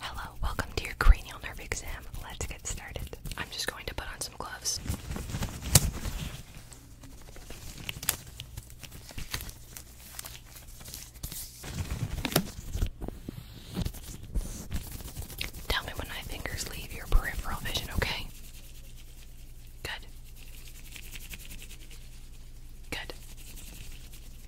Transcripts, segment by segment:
Hello, welcome to your cranial nerve exam. Let's get started. I'm just going to put on some gloves. Tell me when my fingers leave your peripheral vision, okay? Good. Good.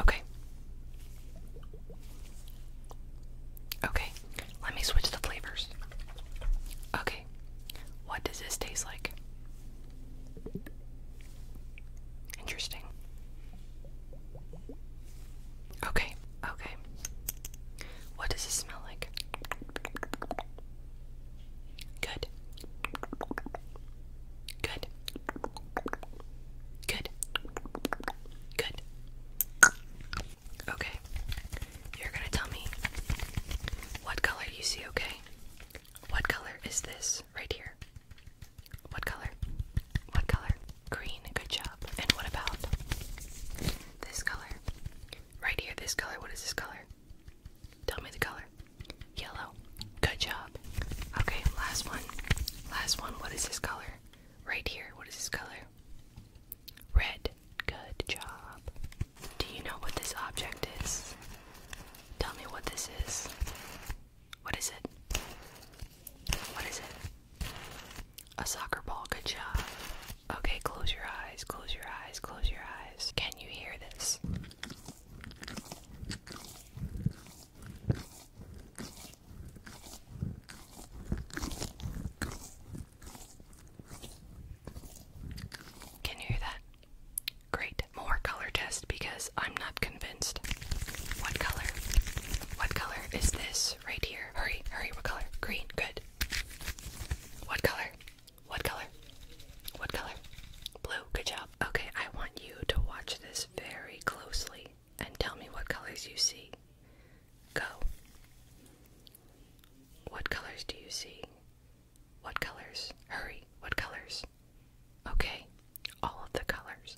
Okay. Okay, let me switch the flavors. Okay, what does this taste like? Interesting. Okay, okay. What does this smell like? Good. Good. Good. Good. Okay. You're going to tell me what color you see, okay? What color is this right here? What color? What color? Green. Good job. And what about this color? Right here, this color. What is this color? Tell me the color. Yellow. Good job. Okay, last one. Last one. What is this color? Right here. What is this color? Red. Good job. Do you know what this object is? Tell me what this is. What is it? What is it? A soccer ball. Good job. Okay, close your eyes. Close your eyes. Close your eyes. Can you hear this? Can you hear that? Great. More color test because I'm not convinced. What color? What color is this right here? Hurry, hurry, what color? Green, good. What color? What color? What color? Blue, good job. Okay, I want you to watch this very closely and tell me what colors you see. Go. What colors do you see? What colors? Hurry, what colors? Okay, all of the colors.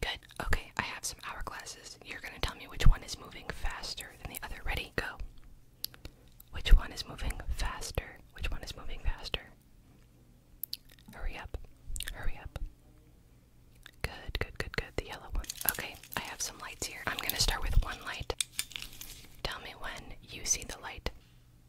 Good. Okay, I have some hourglasses. You're gonna tell me which one is moving faster than the other. Ready? Go. Which one is moving faster? Which one is moving faster? Hurry up. Hurry up. Good, good, good, good. The yellow one. Okay, I have some lights here. I'm gonna start with one light. Tell me when you see the light.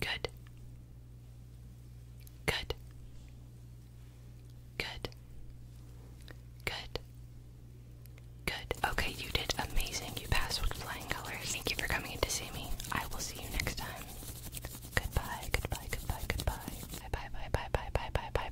Good. Good. Good. Good. Good. Okay, you did amazing. You passed with flying colors. Thank you for coming in to see me. I will see you next time. Goodbye. Goodbye. Goodbye. Goodbye. Bye. Bye. Bye. Bye. Bye. Bye. Bye. Bye.